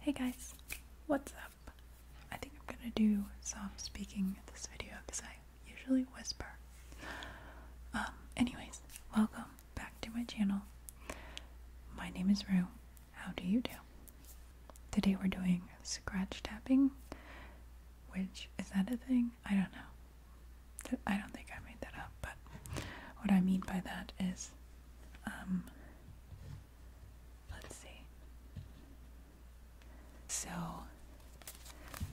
Hey guys, what's up? I think I'm gonna do soft speaking in this video because I usually whisper. Um, anyways, welcome back to my channel. My name is Rue. How do you do? Today we're doing scratch tapping, which is that a thing? I don't know. I don't think I made that up, but what I mean by that is um, let's see. So,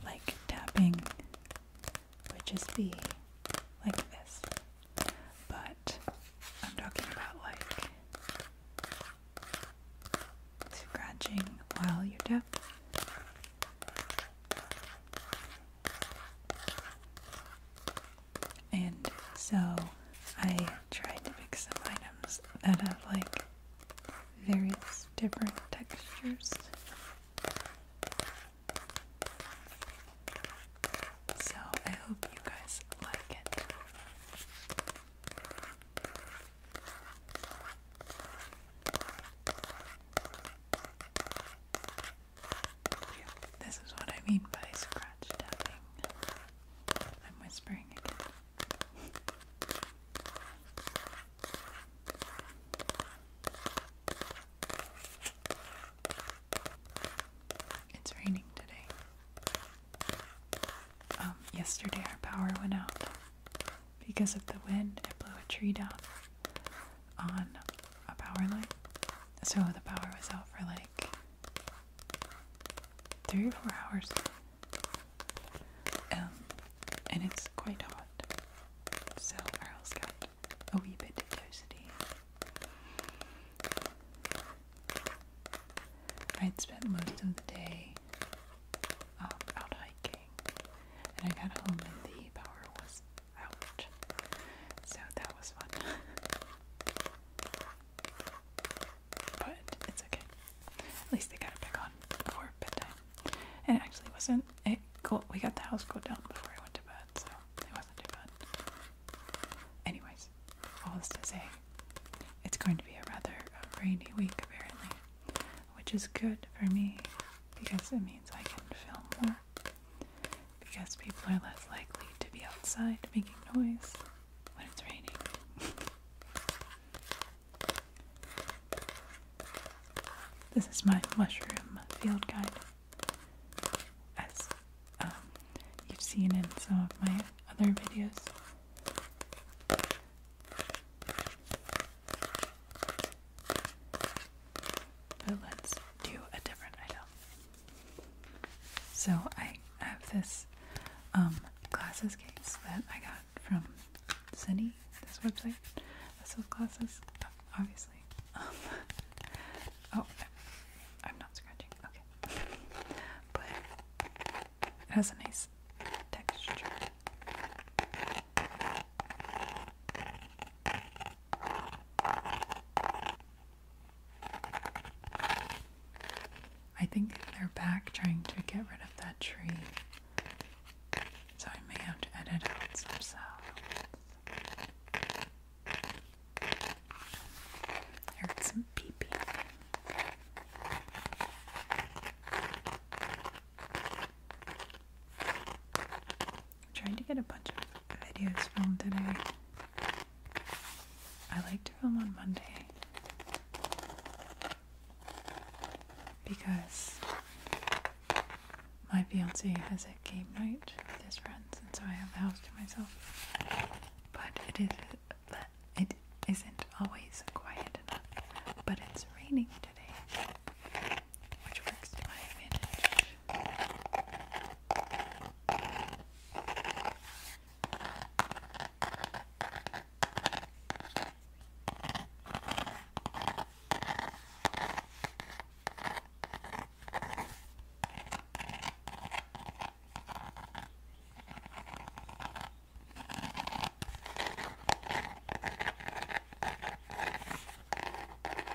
like tapping which is B, like this, but I'm talking about like scratching while you are tap. And so I tried to pick some items out of like various different textures. So I hope you guys like it. This is what I mean by scratch tapping. I'm whispering again. It's raining today. Um, yesterday our power went out. Because of the wind, it blew a tree down on a power line. So the power was out for like three or four hours. Um, and it's quite hot. So our house got a wee bit toasty. I'd spent most of the day um, out hiking, and I got home and the power was out. So that was fun. but it's okay. At least they got it back on before bedtime. And it actually wasn't it cool we got the house cooled down before I went to bed, so it wasn't too bad. Anyways, all this to say it's going to be a rather rainy week apparently. Which is good for me because it means I can film more because people are less likely to be outside making noise when it's raining. this is my mushroom field guide. As um, you've seen in some of my other videos. But let's do a different item. So I have this um, glasses case that I got from Cindy, this website. I sell glasses, obviously. Um, oh, I'm not scratching. Okay. But it has a nice texture. I think they're back trying to get rid of that tree. So I may have to edit out some sounds. Heard some pee I'm trying to get a bunch of videos filmed today. I like to film on Monday because my fiance has a game night with his friends, and so I have the house to myself. But it is it isn't always quiet enough. But it's raining today, which works to my advantage.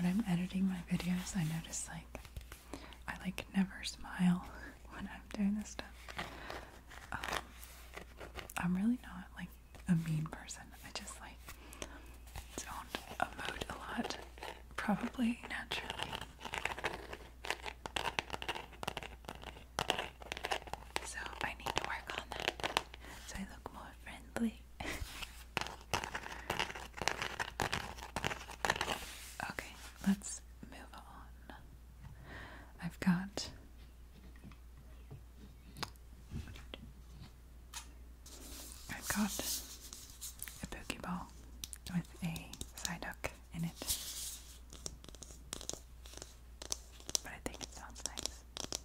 When I'm editing my videos, I notice like I like never smile when I'm doing this stuff. Um, I'm really not like a mean person. I just like don't emote a lot, probably naturally. So I need to work on that. So I look more friendly. Okay, let's move on. I've got I've got a Pokeball with a side hook in it. But I think it sounds nice.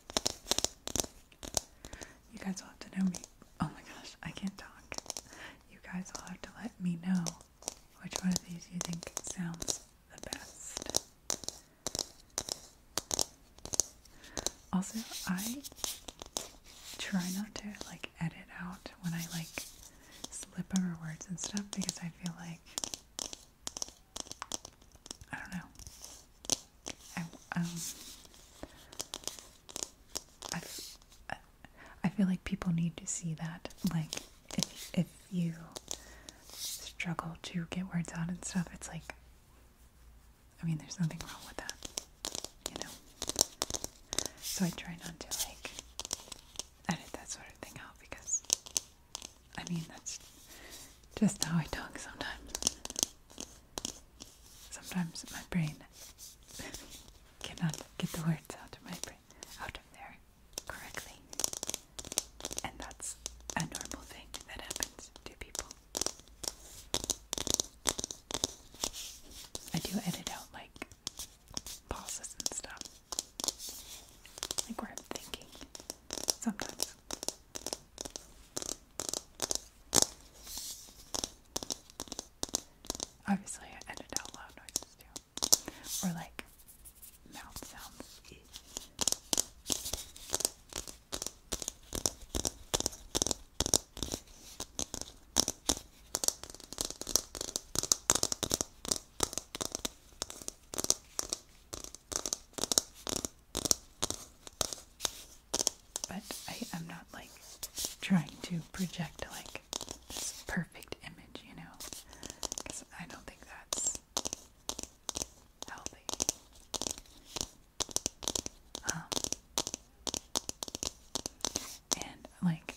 You guys will have to know me. Oh my gosh, I can't talk. You guys will have to let me know which one of these you think sounds the best. Also, I try not to like edit out when I like slip over words and stuff because I feel like I don't know. I um, I, I feel like people need to see that. Like, if if you struggle to get words out and stuff, it's like, I mean, there's nothing wrong with that, you know. So I try not to like edit that sort of thing out because I mean, that's just how I talk sometimes. Sometimes my brain cannot get the words out of my brain, out of there correctly. And that's a normal thing that happens to people. I do edit out like pauses and stuff. Like where I'm thinking. Sometimes. Obviously, I edit out loud noises too, or like mouth sounds. But I, am not like trying to project like this perfect image, you know, because I don't think that's healthy. Um, and like,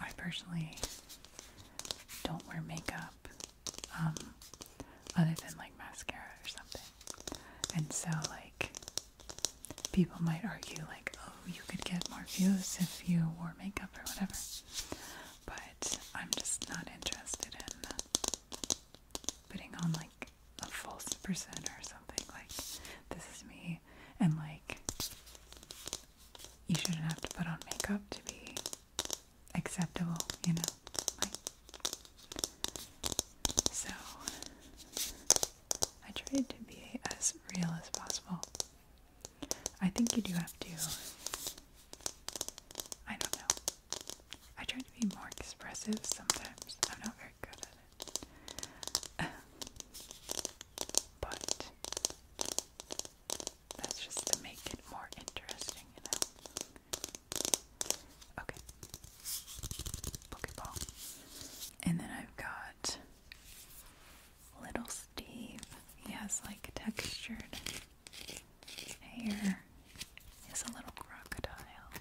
I personally don't wear makeup um, other than like mascara or something. And so, like, people might argue, like, oh, you could get more views if you wore makeup or whatever. But I'm just not interested in putting on like a false person or something. Like, this is me, and like, you shouldn't have to put on makeup to be acceptable, you know. so I tried to be as real as possible. I think you do have to. I don't know. I try to be more expressive sometimes. I'm not very good at it. but that's just to make it more interesting, you know. Okay. Pokeball. And then I've got Little Steve. He has like textured hair. He's a little crocodile.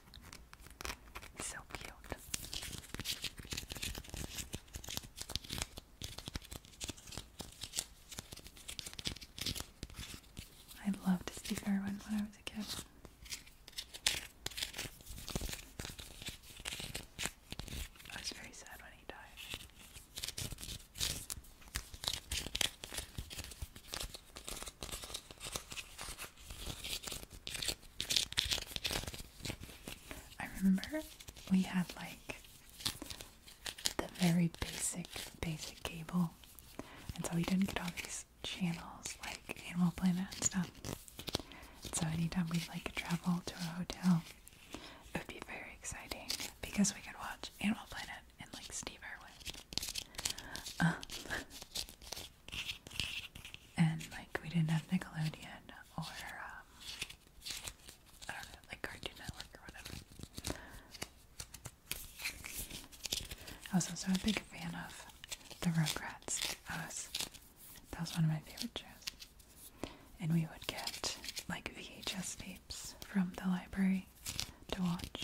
so cute. I loved see Irwin when I was a kid. I was very sad when he died. I remember we had like the very basic, basic cable. And so we didn't get all these channels like Animal Planet and stuff. so anytime we'd like travel to a hotel, it would be very exciting because we could watch Animal Planet and like Steve Irwin. Uh, and like we didn't have Nickelodeon or um, I like Cartoon Network or whatever. I was also a big fan of the Rugrats. I that was one of my favorite shows. And we would get like VHS tapes from the library to watch.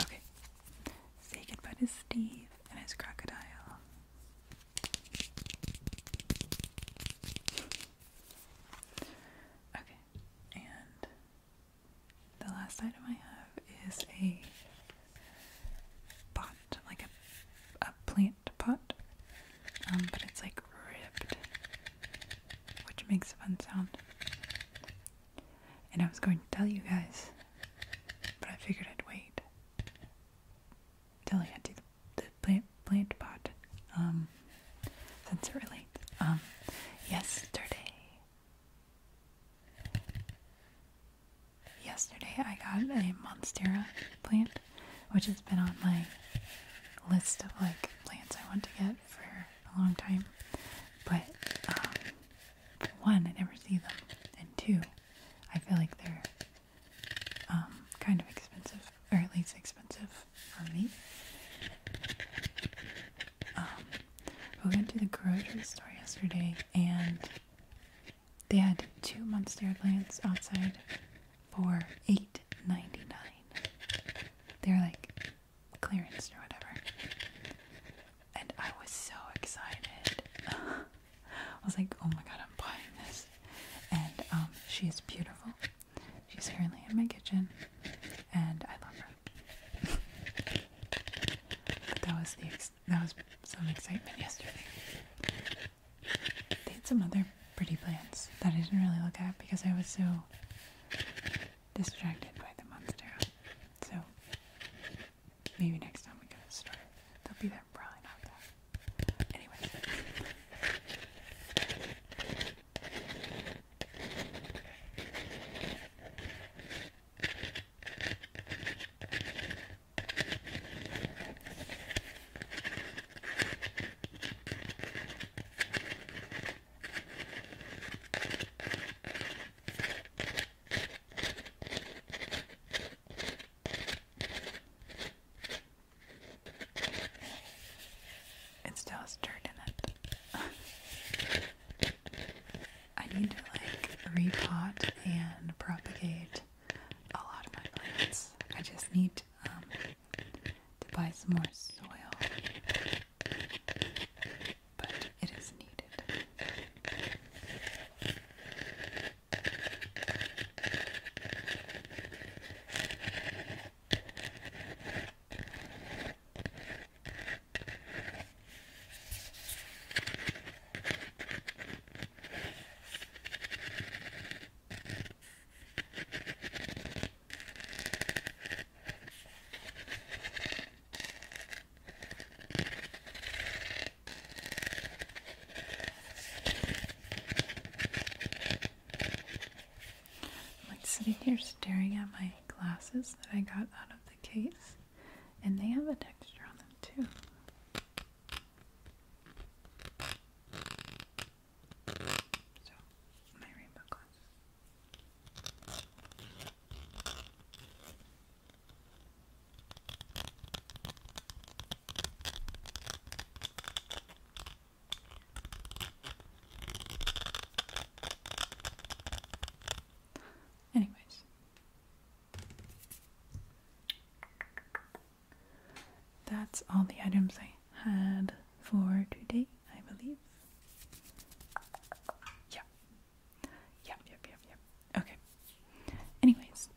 Okay. Say goodbye to Steve and his crocodile. Okay, and the last item I have is a pot, like a, a plant pot, um, but it's like ripped, which makes a fun sound. And I was going to tell you guys, but I figured I'd wait till I had to the, the plant, plant pot. Um, since it relates. Um, yesterday. Yesterday I got a Monstera plant, which has been on my list of like plants I want to get for a long time. But um, one, I never see them, and two, I feel like they're um, kind of expensive, or at least expensive for me. Um, we went to the grocery store yesterday, and they had two monster plants outside for eight ninety nine. They're like clearance or whatever. And I was so excited. I was like, oh my god, I'm buying this. And um, she is beautiful. She's currently in my kitchen, and I love her. but that was the that was some excitement yesterday. They had some other pretty plants that I didn't really look at because I was so distracted by the monster. So maybe next time we go to the store, they'll be there. Probably not Anyway. It still has in it. I need to like repot and propagate a lot of my plants. I just need um, to buy some more soil, but it is needed. I'm sitting here staring at my glasses that I got out of the case, and they have a texture on them too. So, my rainbow glasses. Anyways, that's all the items I had for today, I believe. Yeah. Yep, yep, yep, yep. Okay. Anyways,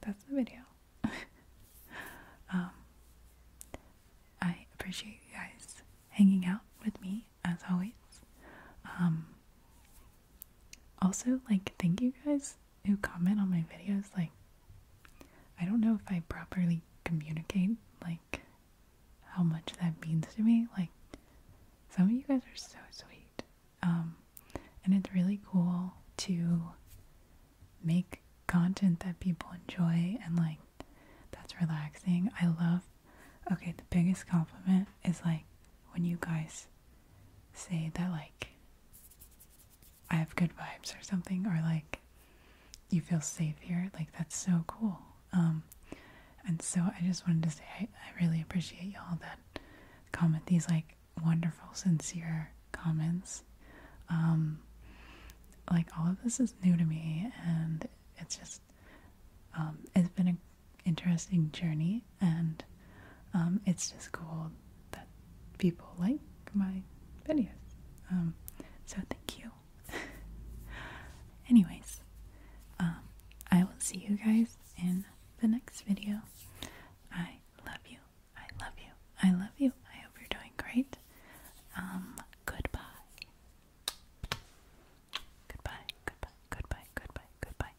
that's the video. um, I appreciate you guys hanging out with me as always. Um, also, like, thank you guys who comment on my videos like I don't know if I properly communicate like how much that means to me. Like some of you guys are so sweet. Um and it's really cool to make content that people enjoy and like that's relaxing. I love okay, the biggest compliment is like when you guys say that like I have good vibes or something, or like you feel safe here. Like that's so cool. Um, and so I just wanted to say I, really appreciate y'all that comment these like wonderful, sincere comments. Um, like all of this is new to me, and it's just um, it's been an interesting journey, and um, it's just cool that people like my videos. Um, so thank you. Anyways, um, I will see you guys in the next video. I love you. I love you. I love you. I hope you're doing great. Um, goodbye. Goodbye. Goodbye. Goodbye. Goodbye. Goodbye.